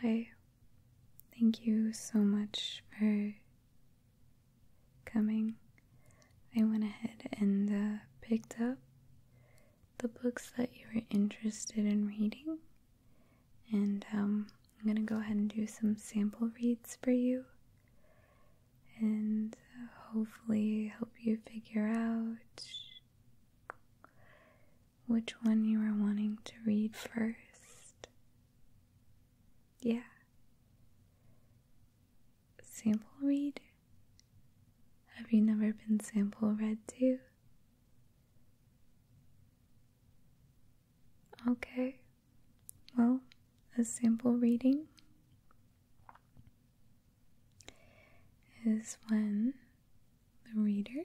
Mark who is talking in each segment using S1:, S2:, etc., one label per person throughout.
S1: Hi, thank you so much for coming. I went ahead and uh, picked up the books that you were interested in reading and um, I'm going to go ahead and do some sample reads for you and uh, hopefully help you figure out which one you are wanting to read first. Yeah. Sample read? Have you never been sample read to? Okay, well, a sample reading is when the reader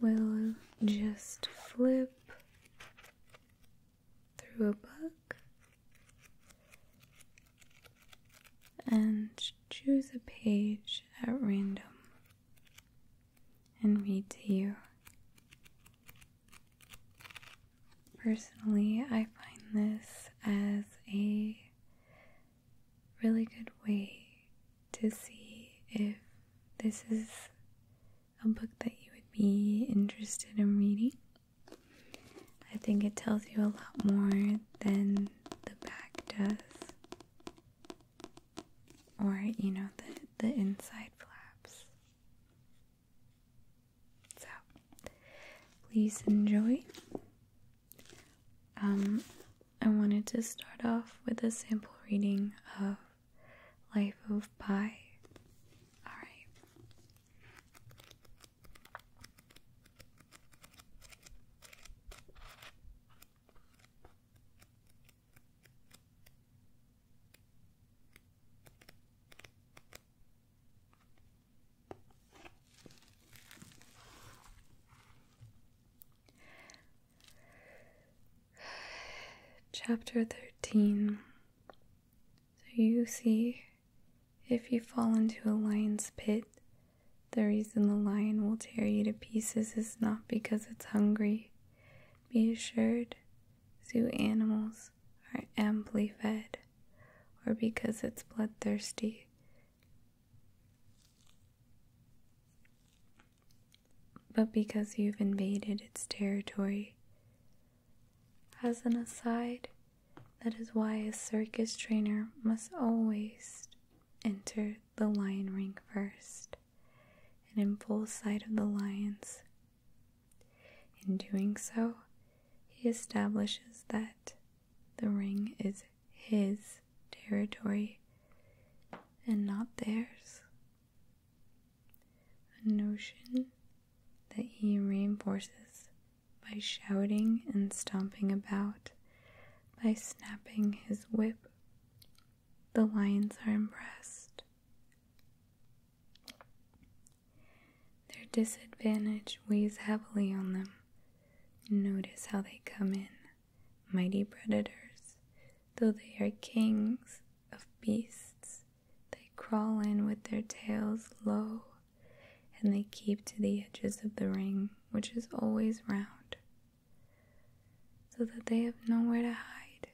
S1: will just flip through a book and choose a page at random and read to you. Personally, I find this as a really good way to see if this is a book that you would be interested in reading. I think it tells you a lot more than the back does, or you know, the, the inside flaps. So, please enjoy. Um, I wanted to start off with a sample reading of Life of Pi. Alright. Chapter 13. So you see, if you fall into a lion's pit, the reason the lion will tear you to pieces is not because it's hungry. Be assured, zoo animals are amply fed, or because it's bloodthirsty. But because you've invaded its territory. As an aside, that is why a circus trainer must always Enter the lion ring first and in full sight of the lions. In doing so, he establishes that the ring is his territory and not theirs. A notion that he reinforces by shouting and stomping about, by snapping his whip. The lions are impressed. Their disadvantage weighs heavily on them. Notice how they come in, mighty predators. Though they are kings of beasts, they crawl in with their tails low and they keep to the edges of the ring, which is always round, so that they have nowhere to hide.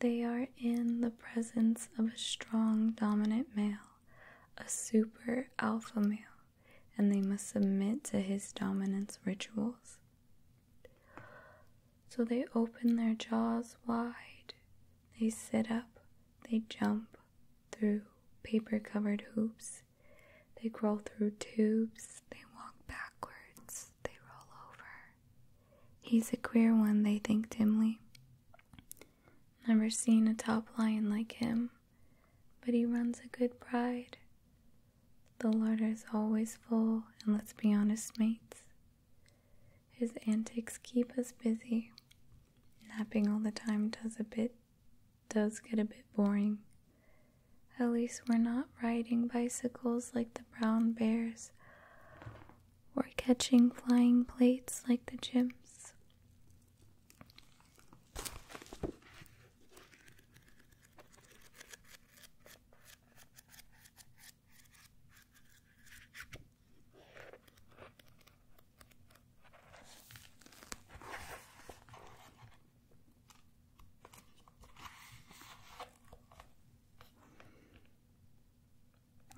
S1: They are in the presence of a strong dominant male, a super alpha male, and they must submit to his dominance rituals. So they open their jaws wide, they sit up, they jump, through paper covered hoops. They crawl through tubes. They walk backwards. They roll over. He's a queer one, they think dimly. Never seen a top lion like him, but he runs a good pride. The larder's always full, and let's be honest, mates. His antics keep us busy napping all the time does a bit does get a bit boring. At least we're not riding bicycles like the brown bears or catching flying plates like the chimps.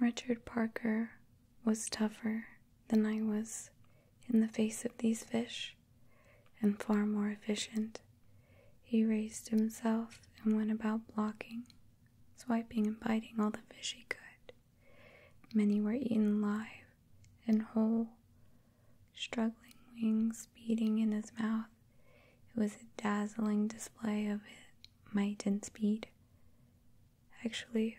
S1: Richard Parker was tougher than I was in the face of these fish, and far more efficient. He raised himself and went about blocking, swiping, and biting all the fish he could. Many were eaten live and whole. Struggling wings beating in his mouth, it was a dazzling display of might and speed. Actually,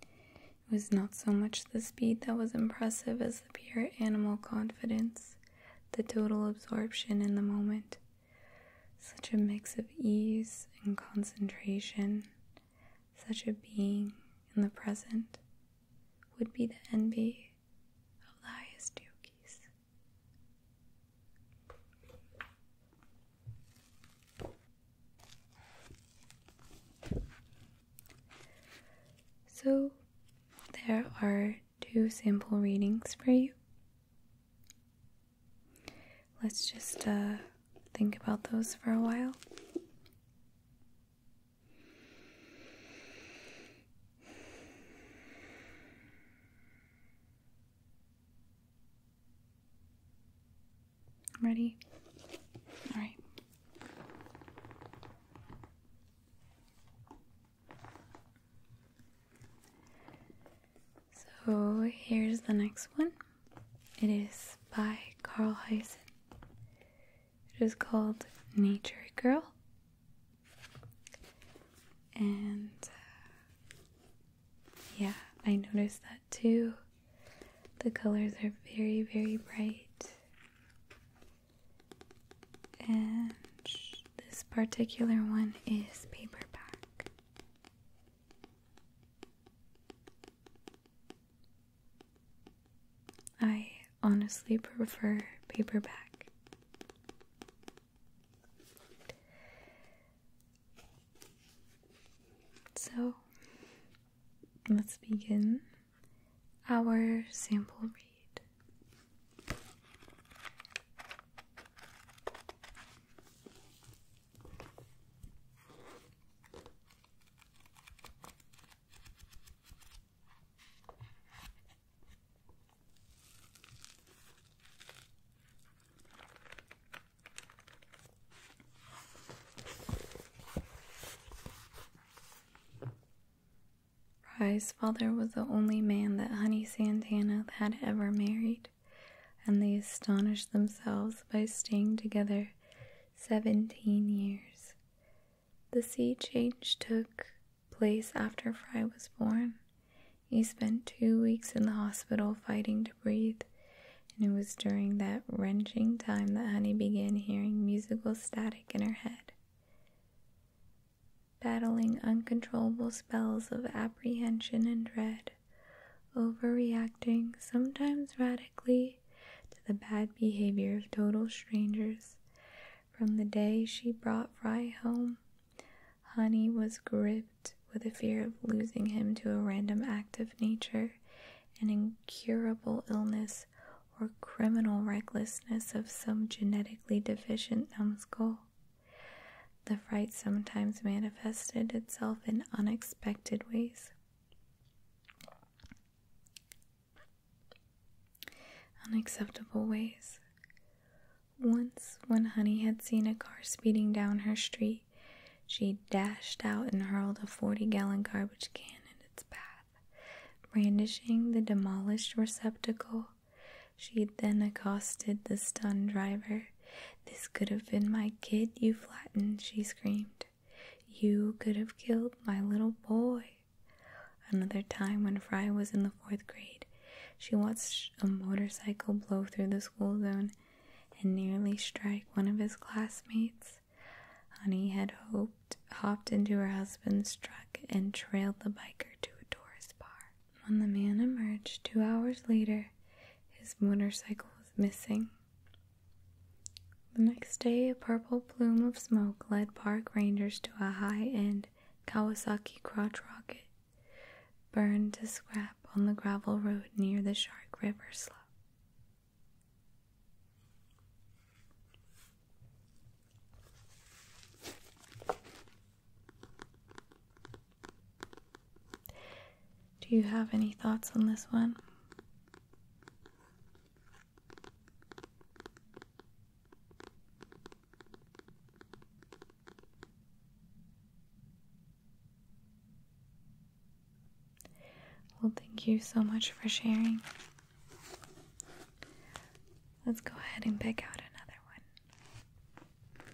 S1: it was not so much the speed that was impressive as the pure animal confidence, the total absorption in the moment. Such a mix of ease and concentration, such a being in the present, would be the envy of the highest yogis. So, there are two sample readings for you. Let's just uh, think about those for a while. Ready? All right. So here's the next one. It is by Carl Hyson. It is called Nature Girl. And uh, yeah, I noticed that too. The colors are very, very bright. And this particular one is paperback. I honestly prefer paperback. So let's begin our sample read. Rye's father was the only man that Honey Santana had ever married and they astonished themselves by staying together seventeen years. The sea change took place after Fry was born. He spent two weeks in the hospital fighting to breathe, and it was during that wrenching time that Honey began hearing musical static in her head. Battling uncontrollable spells of apprehension and dread, overreacting, sometimes radically, to the bad behavior of total strangers. From the day she brought Fry home, Honey was gripped with a fear of losing him to a random act of nature, an incurable illness, or criminal recklessness of some genetically deficient numbskull. The fright sometimes manifested itself in unexpected ways. Unacceptable ways. Once, when Honey had seen a car speeding down her street, she dashed out and hurled a 40 gallon garbage can in its path, brandishing the demolished receptacle she then accosted the stunned driver. This could have been my kid you flattened, she screamed. You could have killed my little boy. Another time, when Fry was in the fourth grade, she watched a motorcycle blow through the school zone and nearly strike one of his classmates. Honey had hoped, hopped into her husband's truck and trailed the biker to a tourist bar. When the man emerged two hours later, his motorcycle was missing. The next day, a purple plume of smoke led park rangers to a high end Kawasaki crotch rocket burned to scrap on the gravel road near the Shark River slough. Do you have any thoughts on this one? Well, thank you so much for sharing. Let's go ahead and pick out another one.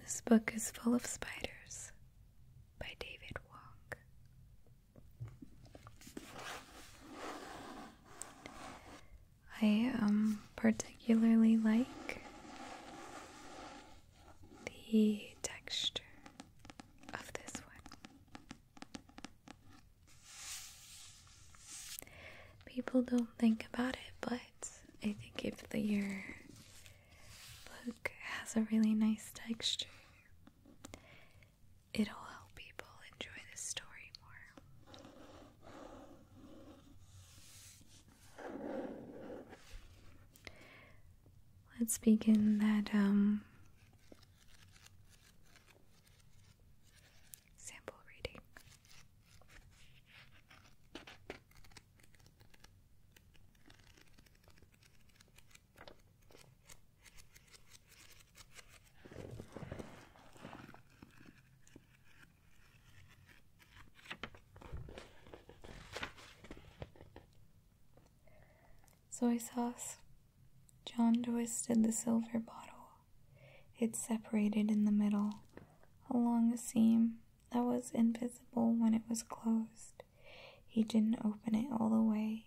S1: This book is full of spiders by David Wong. I um, particularly like the texture of this one. People don't think about it, but I think if the, your book has a really nice texture, it'll help people enjoy the story more. Let's begin that um Sample reading. Soy sauce. John twisted the silver bottle. It separated in the middle, along a seam that was invisible when it was closed. He didn't open it all the way.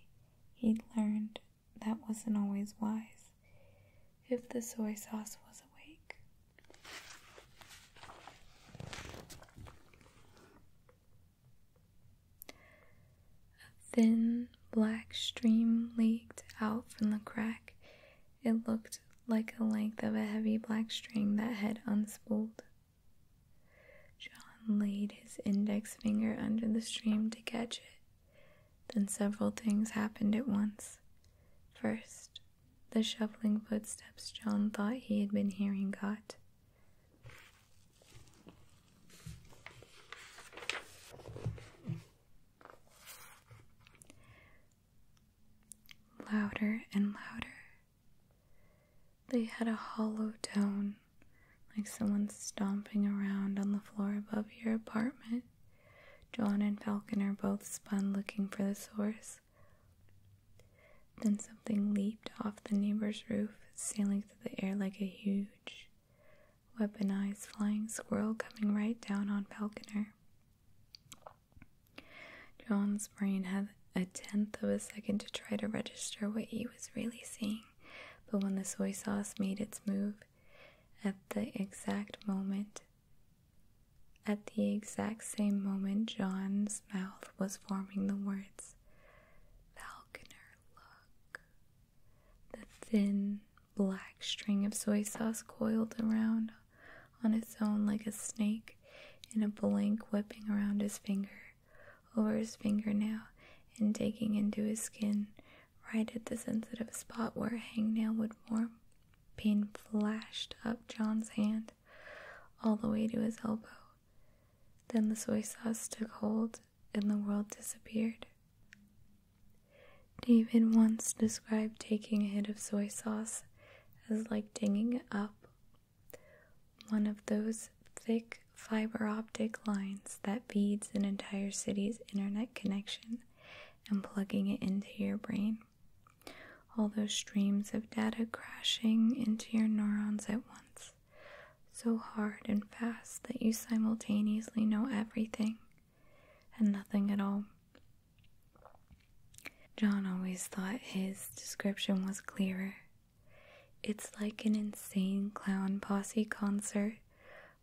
S1: He'd learned that wasn't always wise. If the soy sauce was awake. A thin black stream leaked out from the crack. It looked like a length of a heavy black string that had unspooled. John laid his index finger under the stream to catch it. Then several things happened at once. First, the shuffling footsteps John thought he had been hearing got Louder and louder. They had a hollow tone, like someone stomping around on the floor above your apartment. John and Falconer both spun looking for the source. Then something leaped off the neighbor's roof, sailing through the air like a huge, weaponized flying squirrel coming right down on Falconer. John's brain had a tenth of a second to try to register what he was really seeing, but when the soy sauce made its move, at the exact moment, at the exact same moment, John's mouth was forming the words, Val the thin black string of soy sauce coiled around on its own like a snake and a blank whipping around his finger, over his fingernail, and digging into his skin right at the sensitive spot where a hangnail would form. Pain flashed up John's hand all the way to his elbow. Then the soy sauce took hold and the world disappeared. David once described taking a hit of soy sauce as like dinging up one of those thick fiber optic lines that feeds an entire city's internet connection and plugging it into your brain. All those streams of data crashing into your neurons at once so hard and fast that you simultaneously know everything and nothing at all. John always thought his description was clearer. It's like an insane clown posse concert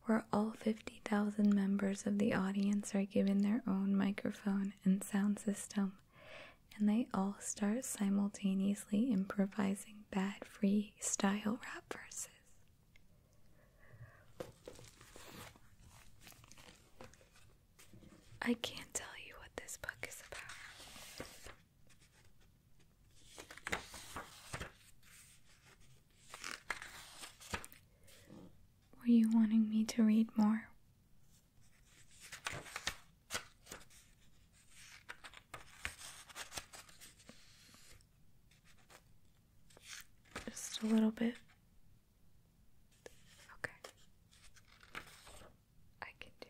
S1: where all 50,000 members of the audience are given their own microphone and sound system and they all start simultaneously improvising bad freestyle rap verses. I can't tell you what this book is about. Were you wanting me to read more? Just a little bit. Okay. I can do that.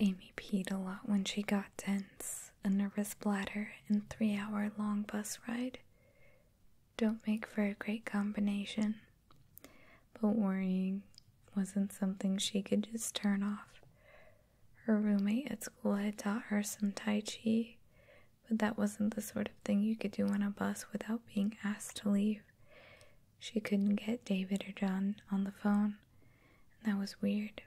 S1: Amy peed a lot when she got dense, a nervous bladder, and three hour long bus ride. Don't make for a great combination. But worrying wasn't something she could just turn off. Her roommate at school had taught her some Tai Chi, but that wasn't the sort of thing you could do on a bus without being asked to leave. She couldn't get David or John on the phone, and that was weird.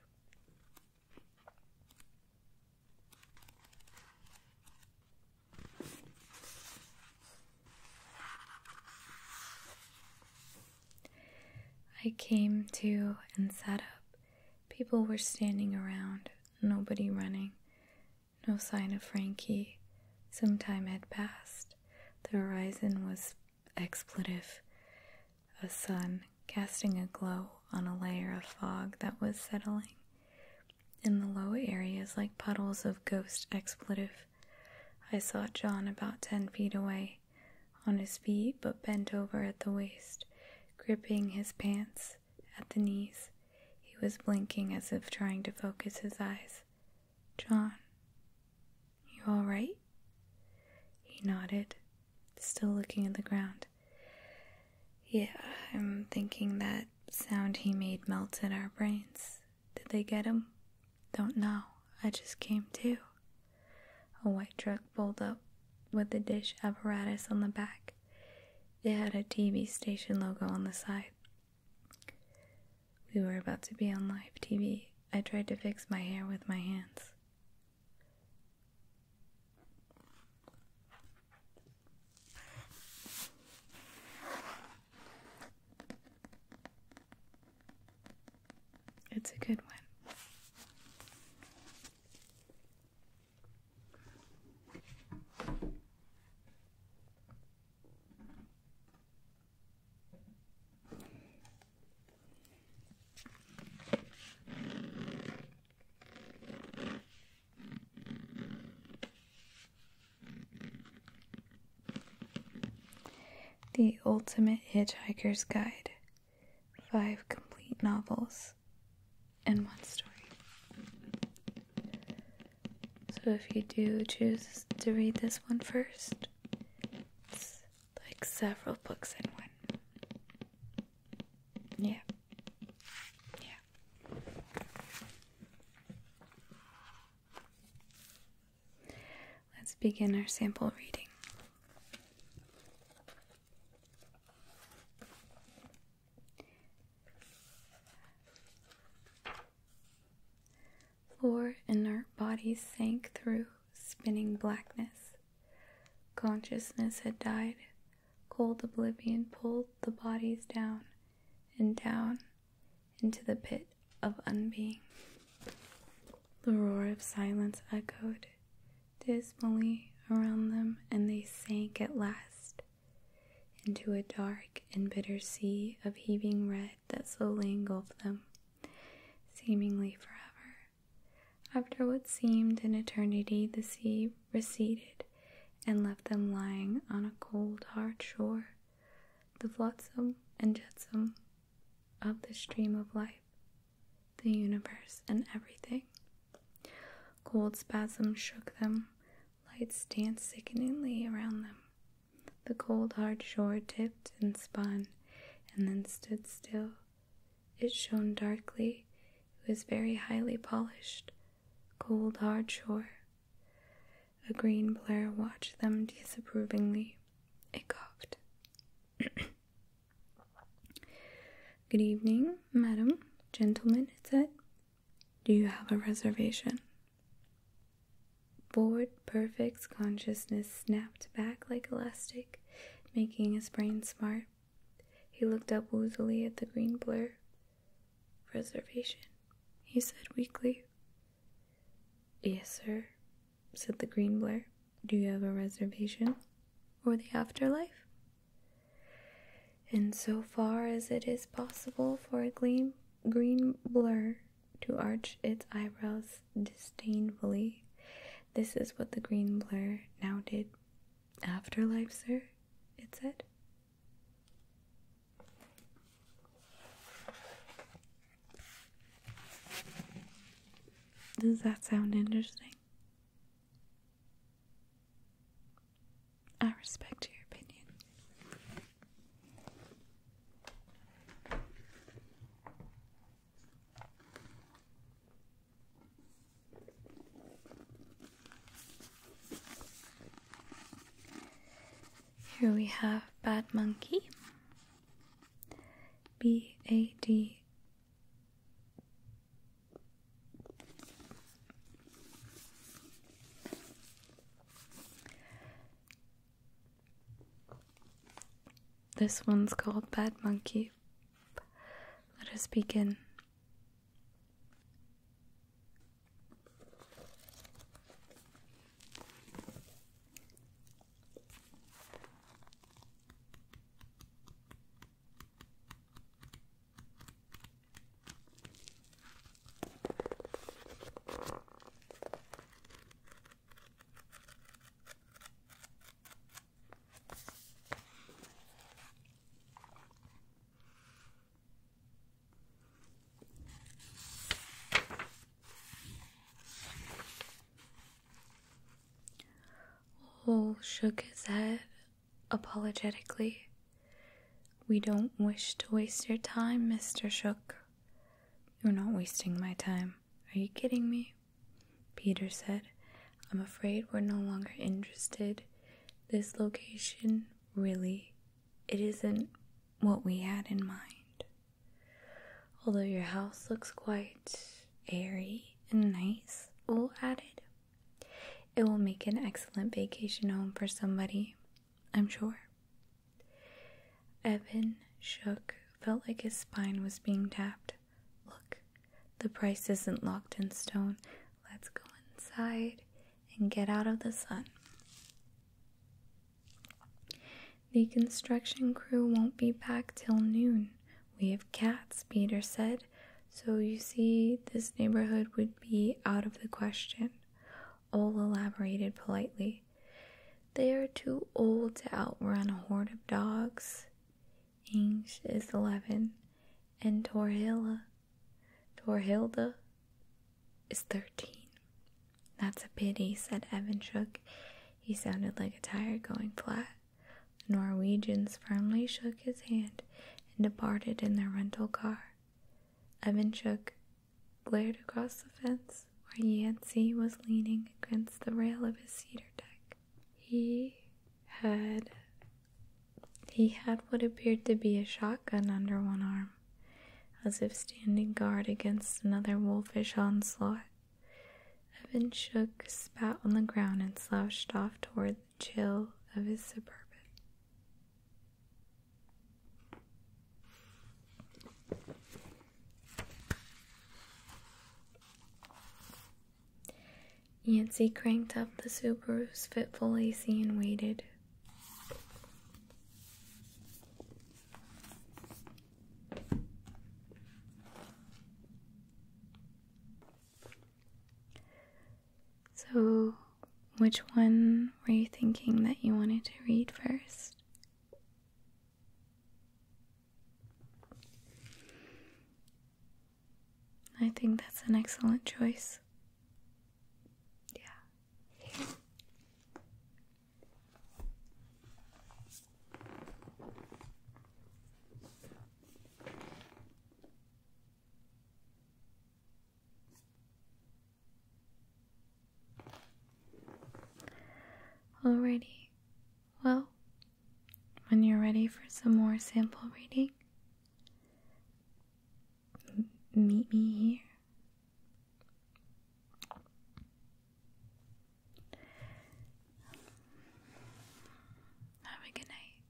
S1: I came to and sat up. People were standing around, nobody running. No sign of Frankie. Some time had passed. The horizon was expletive, a sun casting a glow on a layer of fog that was settling. In the low areas, like puddles of ghost expletive, I saw John about ten feet away, on his feet but bent over at the waist, gripping his pants at the knees. He was blinking as if trying to focus his eyes. John, you all right? He nodded, still looking at the ground. Yeah, I'm thinking that sound he made melted our brains. Did they get him? Don't know. I just came to. A white truck pulled up with the dish apparatus on the back. It had a TV station logo on the side. We were about to be on live TV. I tried to fix my hair with my hands. It's a good one. The Ultimate Hitchhiker's Guide Five Complete Novels and One Story. So, if you do choose to read this one first, like several books in one. Yeah. Yeah. Let's begin our sample reading. Four inert bodies sank through spinning blackness. Consciousness had died. Cold oblivion pulled the bodies down and down into the pit of unbeing. The roar of silence echoed dismally around them, and they sank at last into a dark and bitter sea of heaving red that slowly engulfed them, seemingly forever. After what seemed an eternity, the sea receded and left them lying on a cold, hard shore, the flotsam and jetsam of the stream of life, the universe, and everything. Cold spasms shook them, lights danced sickeningly around them. The cold, hard shore dipped and spun and then stood still it shone darkly. It was very highly polished. Cold, hard shore. A green blur watched them disapprovingly. It coughed. Good evening, madam, gentlemen, it said. Do you have a reservation? Board Perfect's consciousness snapped back like elastic making his brain smart. He looked up woozily at the green blur. Reservation, he said weakly. Yes, sir, said the green blur. Do you have a reservation? Or the afterlife? And so far as it is possible for a gleam, green blur to arch its eyebrows disdainfully. This is what the green blur now did afterlife, sir, it said. Does that sound interesting? I respect your opinion. Here we have Bad Monkey. B A D this one's called Bad Monkey. Let us begin. Hole shook his head apologetically. We don't wish to waste your time, Mr. Shook. You're not wasting my time. Are you kidding me? Peter said, I'm afraid we're no longer interested. This location, really, it isn't what we had in mind. Although your house looks quite airy and nice, Will added, it will make an excellent vacation home for somebody, I'm sure. Evan shook, felt like his spine was being tapped. Look, the price isn't locked in stone. Let's go inside and get out of the sun. The construction crew won't be back till noon. We have cats, Peter said. So you see, this neighborhood would be out of the question. Ole elaborated politely. They are too old to outrun a horde of dogs. Inge is eleven, and Torhilla, Torhilda is thirteen. That's a pity, said Evanshook. He sounded like a tire going flat. The Norwegians firmly shook his hand and departed in their rental car. Evanshook glared across the fence where Yancey was leaning against the rail of his cedar deck. He had he had what appeared to be a shotgun under one arm, as if standing guard against another wolfish onslaught. Evan shook, spat on the ground, and slouched off toward the chill of his suburban. Yancy cranked up the Subaru's fitful AC and waited. So, which one were you thinking that you wanted to read first? I think that's an excellent choice. Yeah. Alrighty, well, when you're ready for some more sample reading, meet me here. Have a good night.